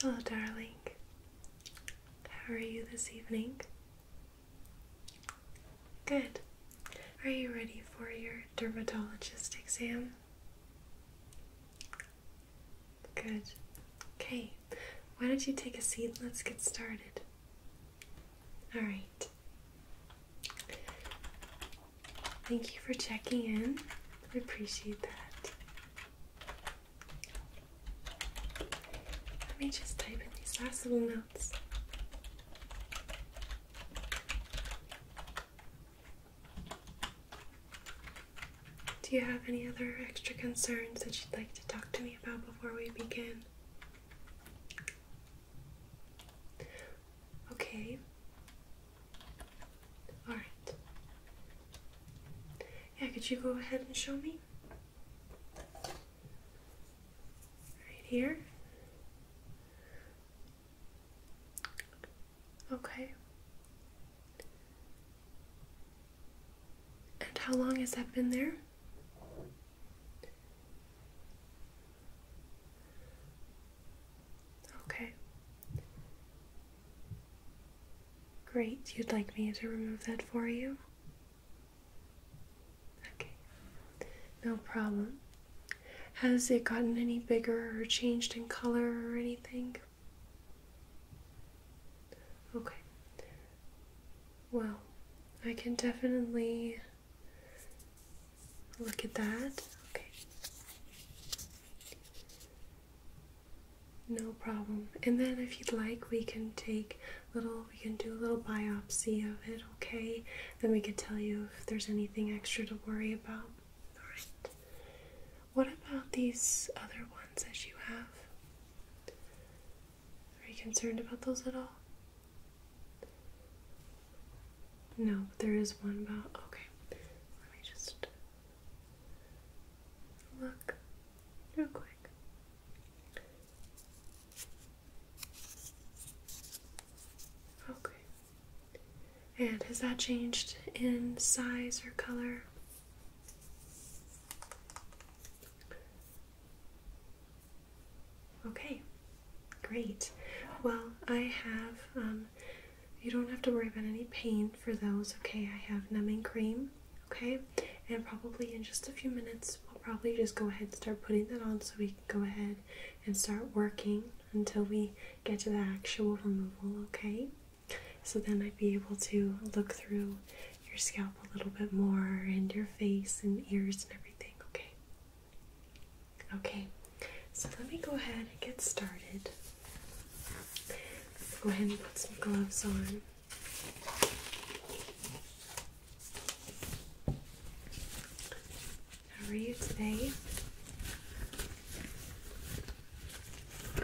Hello, darling. How are you this evening? Good. Are you ready for your dermatologist exam? Good. Okay, why don't you take a seat and let's get started? Alright. Thank you for checking in. I appreciate that. Let me just type in these last little notes. Do you have any other extra concerns that you'd like to talk to me about before we begin? Okay. Alright. Yeah, could you go ahead and show me? Right here. Okay. And how long has that been there? Okay. Great. You'd like me to remove that for you? Okay. No problem. Has it gotten any bigger or changed in color or anything? Okay. Well, I can definitely look at that. Okay. No problem. And then if you'd like, we can take little we can do a little biopsy of it, okay? Then we could tell you if there's anything extra to worry about. Alright. What about these other ones that you have? Are you concerned about those at all? No, but there is one about. Okay, let me just look real quick. Okay, and has that changed in size or color? Okay, great. Well, I have, um, you don't have to worry about any pain for those, okay? I have numbing cream, okay? And probably in just a few minutes, we'll probably just go ahead and start putting that on so we can go ahead and start working until we get to the actual removal, okay? So then I'd be able to look through your scalp a little bit more and your face and ears and everything, okay? Okay, so let me go ahead and get started. Go ahead and put some gloves on. How are you today?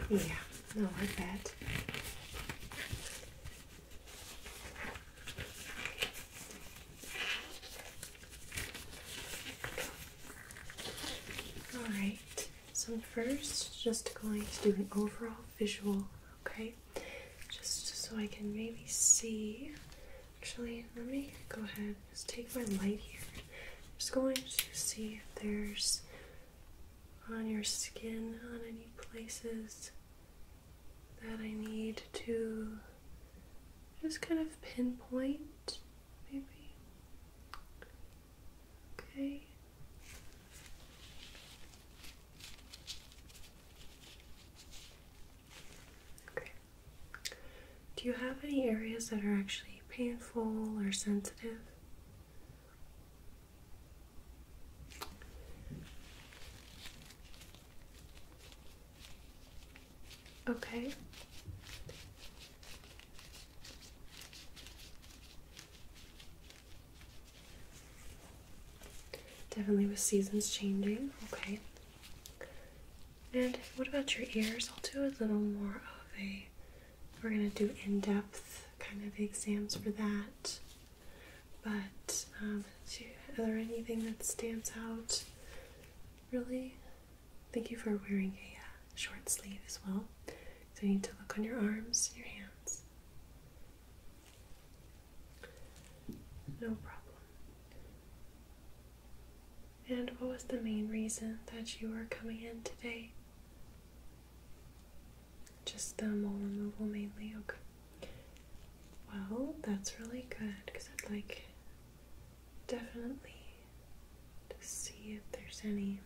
Yeah, no, I bet. Alright, so first, just going to do an overall visual, okay? Just so I can maybe see. Actually, let me go ahead just take my light here. I'm just going to see if there's on your skin, on any places that I need to just kind of pinpoint, maybe. Okay. Okay. Do you have any areas that are actually painful or sensitive? Okay. Definitely with seasons changing. Okay. And what about your ears? I'll do a little more of a. We're gonna do in-depth kind of exams for that. But um, you, are there anything that stands out? Really, thank you for wearing a uh, short sleeve as well. So you need to look on your arms your hands. No problem. And what was the main reason that you are coming in today? Just the mole removal mainly, okay. Well, that's really good because I'd like definitely to see if there's any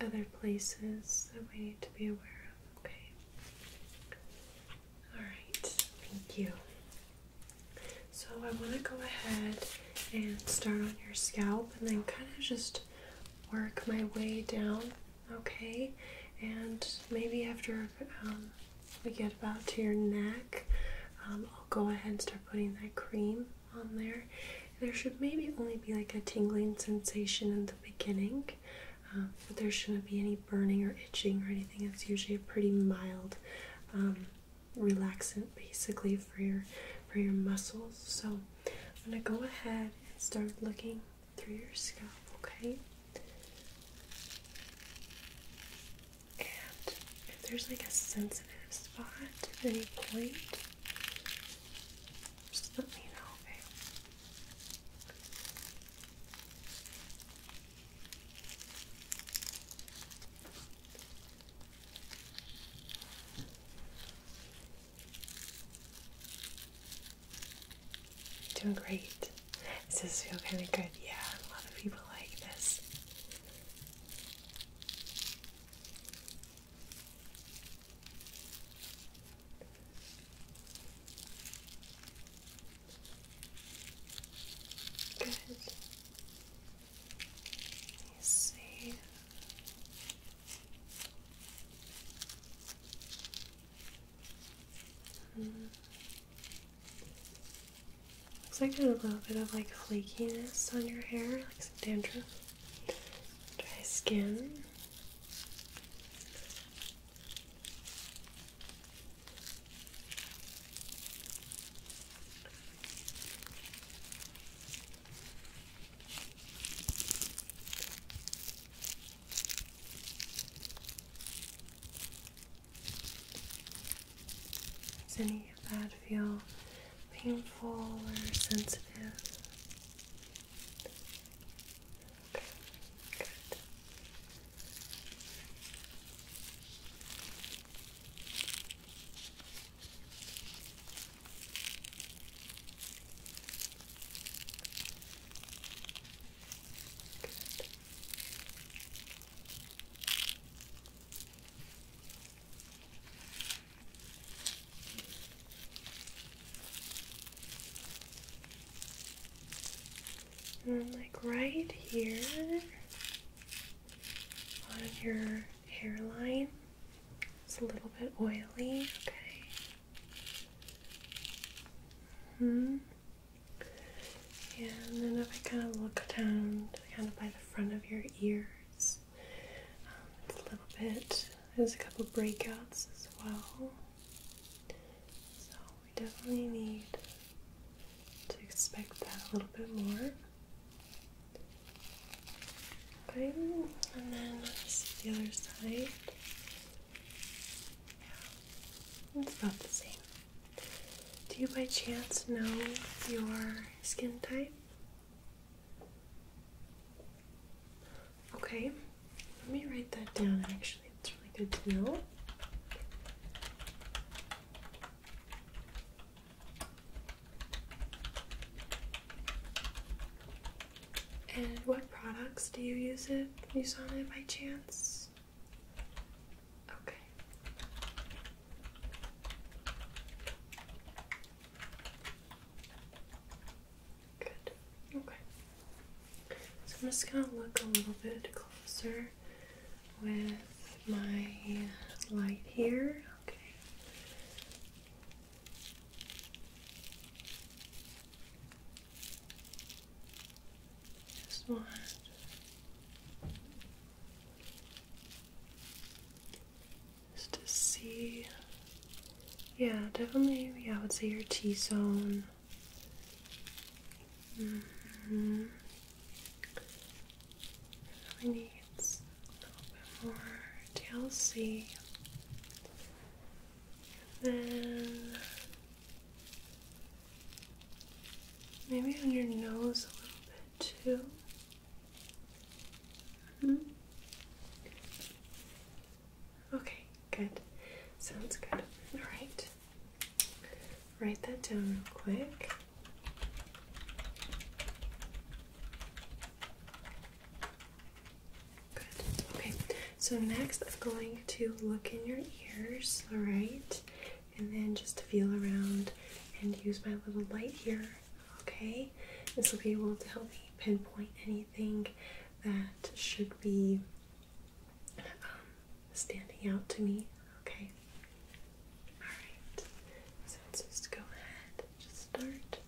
other places that we need to be aware of, okay? Alright, thank you. So I want to go ahead and start on your scalp and then kind of just work my way down, okay? And maybe after um, we get about to your neck, um, I'll go ahead and start putting that cream on there. There should maybe only be like a tingling sensation in the beginning, um, but there shouldn't be any burning or itching or anything. It's usually a pretty mild relaxant basically for your for your muscles. So I'm gonna go ahead and start looking through your scalp, okay? And if there's like a sensitive spot at any point, just let me know, okay? Doing great. Does this feel kind of good? Yeah, a lot of people like this. Good see. Hmm. Looks like there's a little bit of like flakiness on your hair, like some dandruff, dry skin. Is any of that feel painful or sensitive? And then, like right here, on your hairline. It's a little bit oily, okay. hmm. Yeah, and then if I kind of look down kind of by the front of your ears, um, it's a little bit, there's a couple breakouts as well. So we definitely need to expect that a little bit more. Okay, and then let's see the other side. Yeah, it's about the same. Do you by chance know your skin type? Okay, let me write that down actually. It's really good to know. And what products do you use it? You saw it by chance? Okay. Good. Okay. So I'm just gonna look a little bit closer with my light here. Okay. Just want just to see. Yeah, definitely. Yeah, I would say your T zone. Mm-hmm really needs a little bit more TLC. And then maybe on your nose a little bit too. Mm-hmm. Okay, good. Sounds good. All right. Write that down real quick. Good. Okay. So next, I'm going to look in your ears. All right, and then just feel around and use my little light here. Okay, this will be able to help me pinpoint anything that should be um, standing out to me. Okay. All right. So let's just go ahead just start.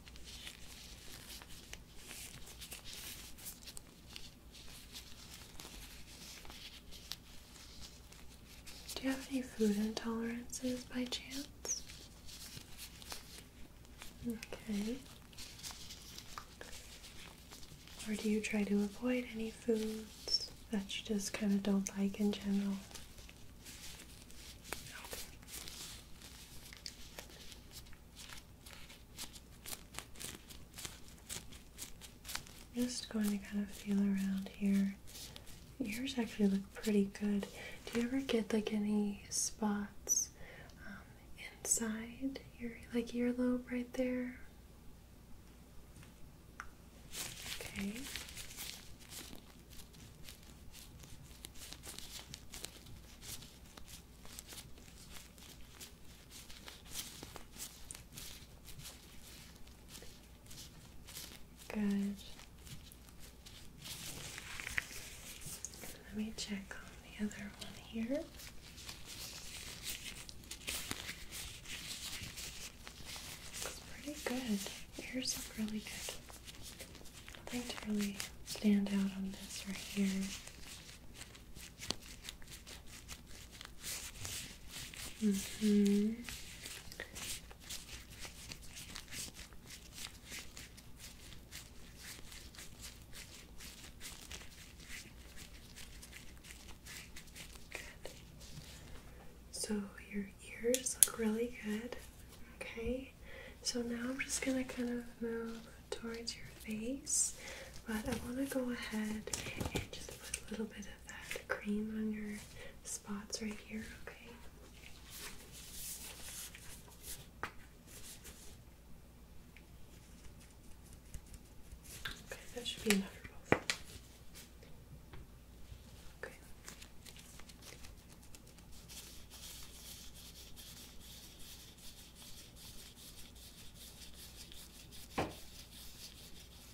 Do you have any food intolerances by chance? Okay. Or do you try to avoid any foods that you just kind of don't like in general? just going to kind of feel around here. Yours actually look pretty good. Do you ever get like any spots um, inside your like earlobe right there? Okay. Good. Let me check on the other one here. It's pretty good. Ears look really good. Nothing to really stand out on this right here. Mm-hmm. So your ears look really good. Okay, so now I'm just gonna kind of move towards your face, but I want to go ahead and just put a little bit of that cream on your spots right here. Okay. Okay, that should be enough for both. Okay.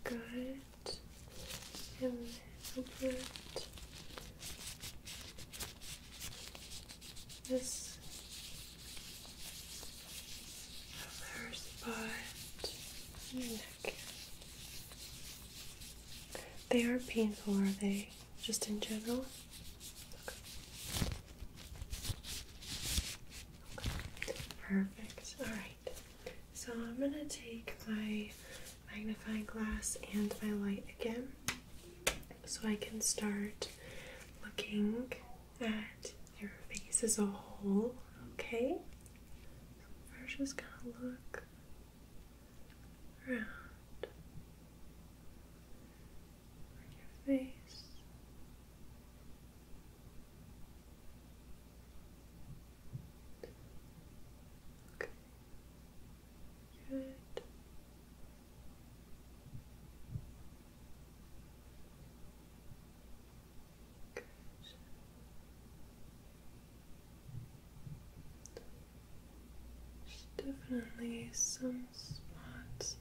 Good. And a little from her They are painful, are they? Just in general? Perfect. Alright. So I'm gonna take my magnifying glass and my light again so I can start looking that your face is a whole, okay? we're just gonna look around your face. Okay. Good. There's definitely some spots.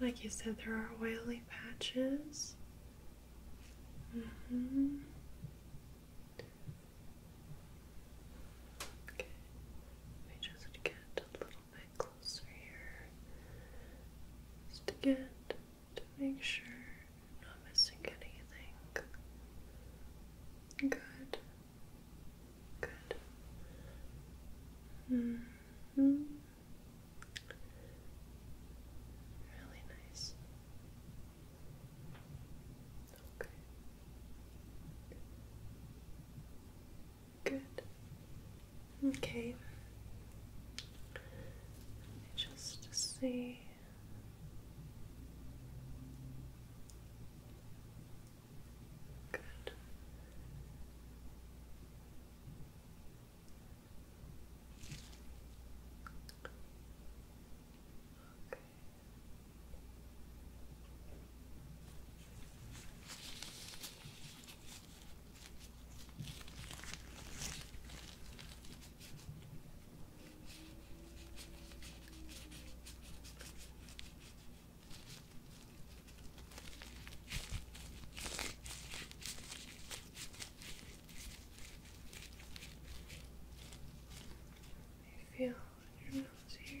Like you said, there are oily patches. Mm-hmm. Okay, let me just get a little bit closer here. Just to get to make sure I'm not missing anything. Good. Good. Mm hmm Really nice. Okay. Good. Okay. Just see. Good. Okay. I feel your nose here.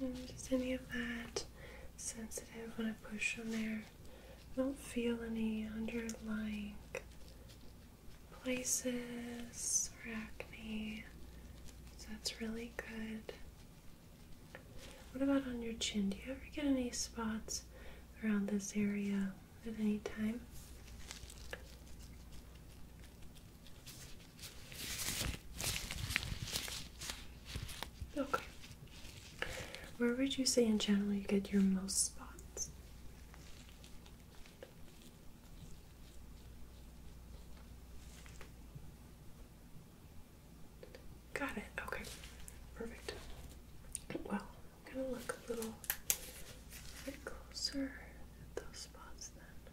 And just any of that sensitive when I push on there. I don't feel any underlying places or acne. that's really good. What about on your chin? Do you ever get any spots around this area at any time? Okay. Where would you say in general you get your most spots? Got it. Okay. Perfect. Well, I'm going to look a little bit closer at those spots then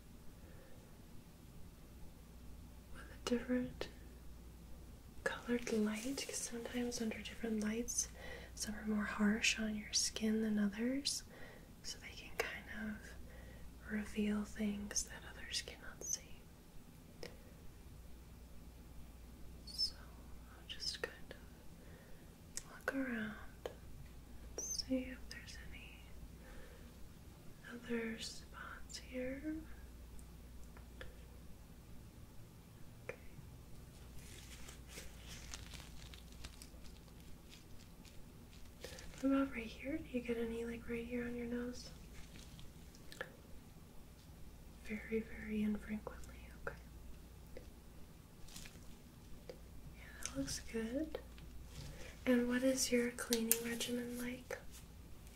with a different colored light because sometimes under different lights some are more harsh on your skin than others so they can kind of reveal things that others cannot see. So just kind of look around Let's see if there's any other spots here. Okay. What about right here? Do you get any like right here on your nose? Very, very infrequently, okay. Yeah, that looks good. And what is your cleaning regimen like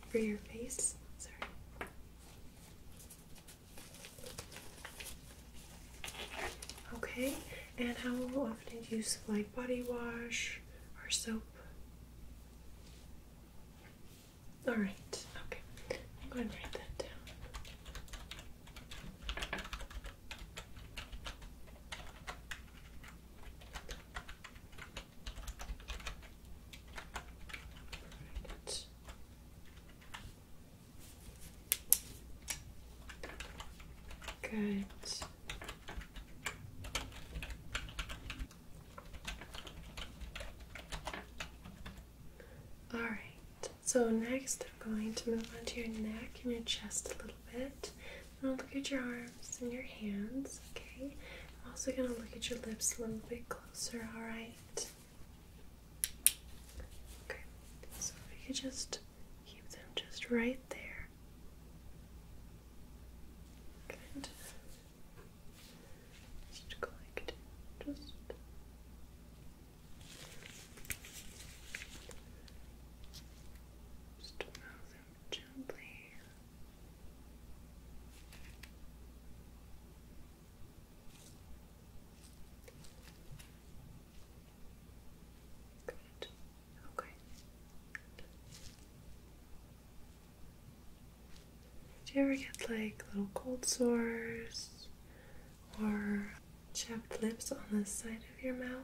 for your face? Sorry. Okay, and how often do you use like body wash or soap? Alright, okay. I'm going write that down. Perfect. Good. All right. So next I'm going to move onto your neck and your chest a little bit. I'm going to look at your arms and your hands, okay? I'm also going to look at your lips a little bit closer, alright? Okay, so if you could just keep them just right there. Good. Just collect. Just just move them gently. Good. Okay. Do you ever get like little cold sores or chapped lips on the side of your mouth?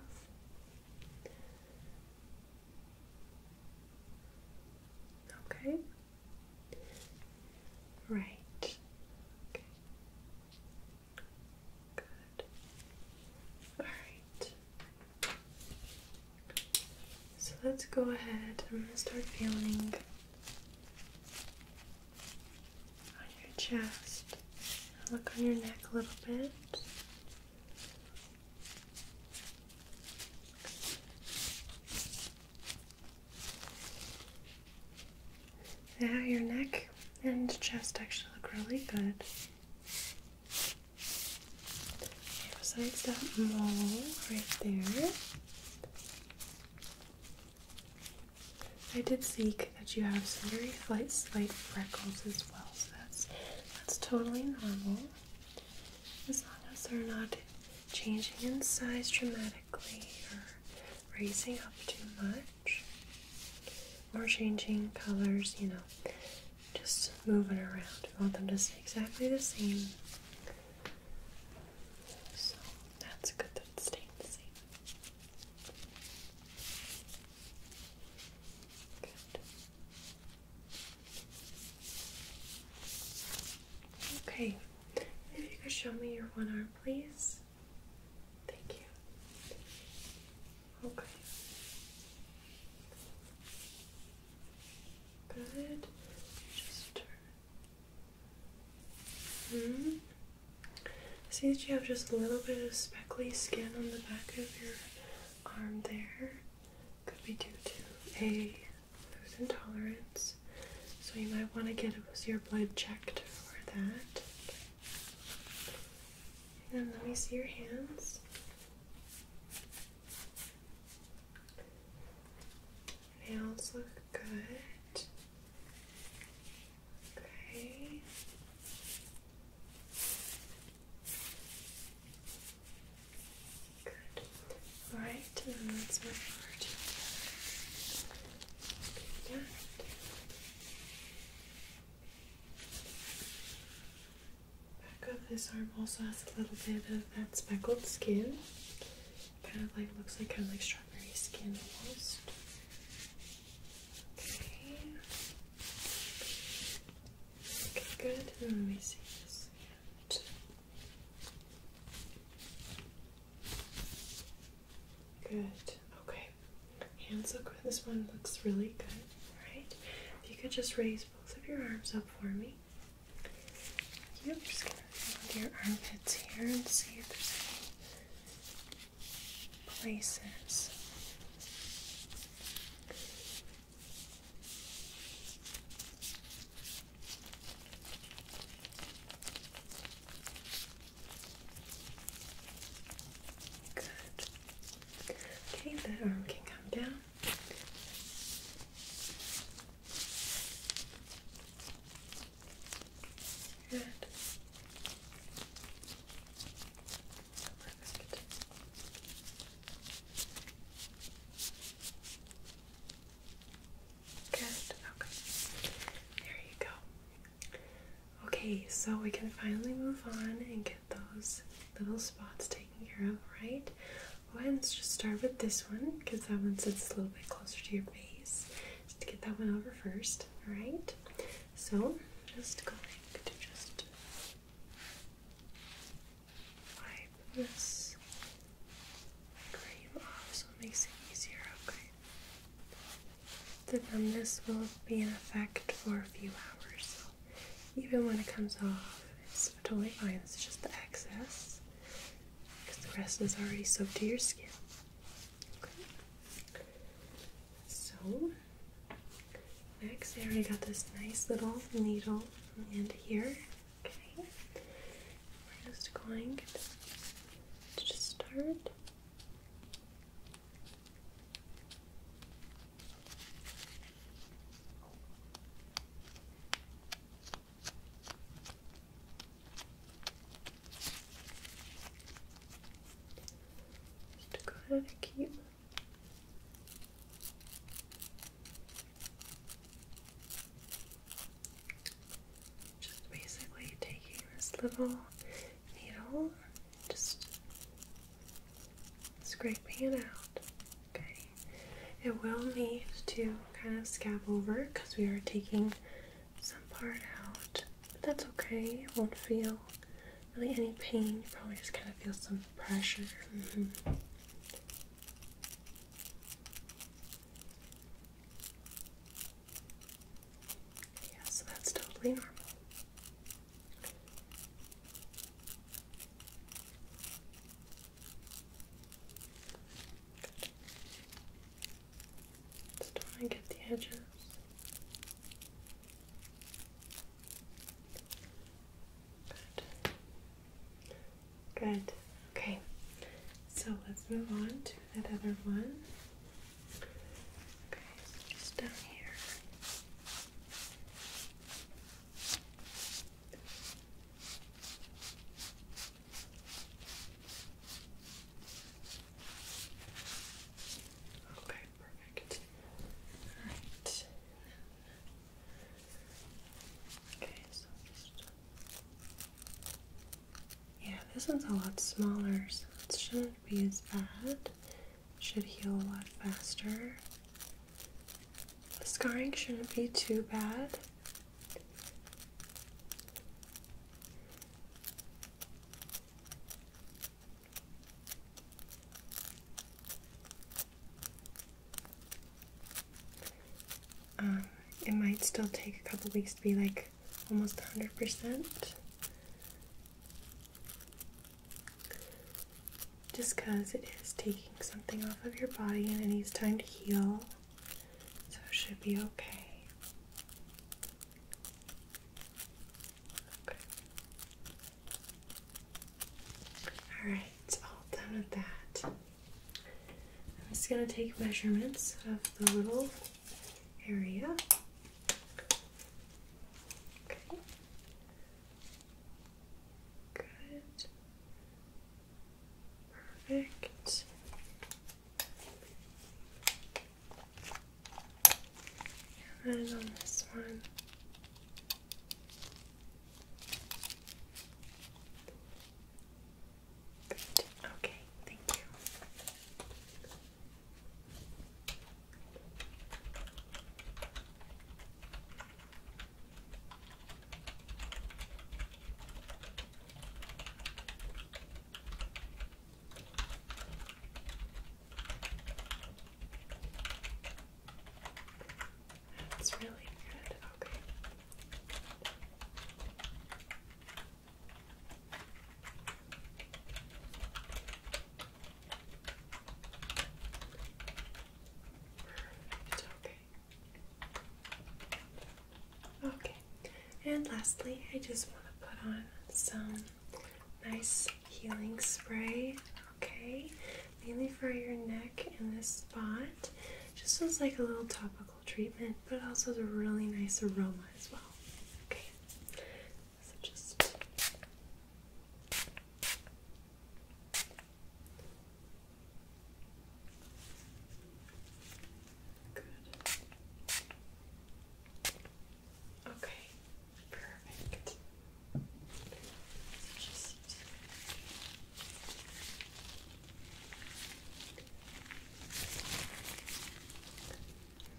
Okay. Right. Good. All right. So let's go ahead. I'm going to start feeling on your chest. Look on your neck a little bit. Now your neck and chest actually look really good. Besides that mole right there, I did see that you have some very slight, slight freckles as well, so that's that's totally normal. As long as they're not changing in size dramatically or raising up too much or changing colors, you know, just moving around. We want them to stay exactly the same. So that's good that it's staying the same. Okay, if you could show me your one arm, please. Thank you. Okay. Good. Just turn. hmm. See that you have just a little bit of speckly skin on the back of your arm there. Could be due to a food intolerance. So you might want to get your blood checked for that. And let me see your hands. Nails look good. Okay. Good. All right, and then let's move over to the other. Back of this arm also has a little bit of that speckled skin. Kind of like looks like kind of like strawberry skin almost. Okay. good. Let me see this Good. Okay. Hands look This one looks really good. Alright. If you could just raise both of your arms up for me. Yep, just gonna feel your armpits here and see if there's places. Good. Okay, the arm can come down. Good. Good. Okay. There you go. Okay, so we can finally move on and get those little spots taken care of, right? Well, let's just start with this one because that one sits a little bit closer to your face. Just get that one over first, alright? So, just going to just wipe this cream off so it makes it easier, okay? The numbness will be in effect for a few hours, so even when it comes off, it's totally fine. It's just the excess because the rest is already soaked to your skin. So next I already got this nice little needle and here. Okay. We're just going to just start just to kind of keep just basically taking this little needle, just scraping it out. Okay, it will need to kind of scab over because we are taking some part out. that's okay. It won't feel really any pain. You probably just kind of feel some pressure. Mm-hmm. Yeah, so that's totally normal. Let's try and get the edges. Good. Good. Okay. So let's move on to that other one. just down here. Okay, perfect. Alright. Okay, so just. Yeah, this one's a lot smaller, so it shouldn't be as bad. Should heal a lot faster. The scarring shouldn't be too bad. Um, it might still take a couple weeks to be like almost 100%. Just because it is taking something off of your body and it needs time to heal. So it should be okay. All right, it's all done with that. I'm just going to take measurements of the little area. Okay. Good. Perfect. And on this one. Okay, thank you. That's really good. Okay. Perfect. Okay. Okay. And lastly, I just want to put on some nice healing spray, okay? Mainly for your neck and this spot. Just as like a little topical treatment, but also has a really nice aroma as well. Okay, so just good. Okay, perfect. let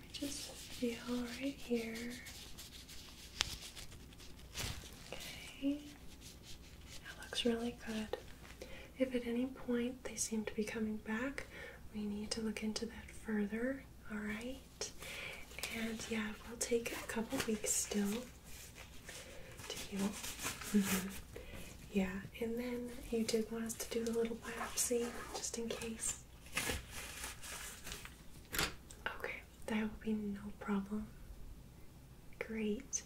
me just feel right here. Okay, that looks really good. If at any point they seem to be coming back, we need to look into that further, all right? And yeah, we will take a couple weeks still to heal. Mm-hmm. Yeah, and then you did want us to do the little biopsy just in case. Okay, that will be no problem. Great.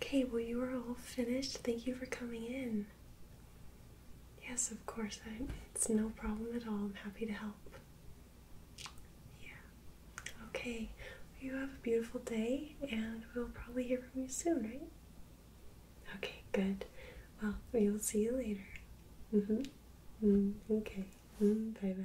Okay, well, you are all finished. Thank you for coming in. Yes, of course. it's no problem at all. I'm happy to help. Yeah. Okay. You have a beautiful day, and we'll probably hear from you soon, right? Okay, good. Well, we'll see you later. Mm hmm. okay. Mm, mm-hmm. bye bye.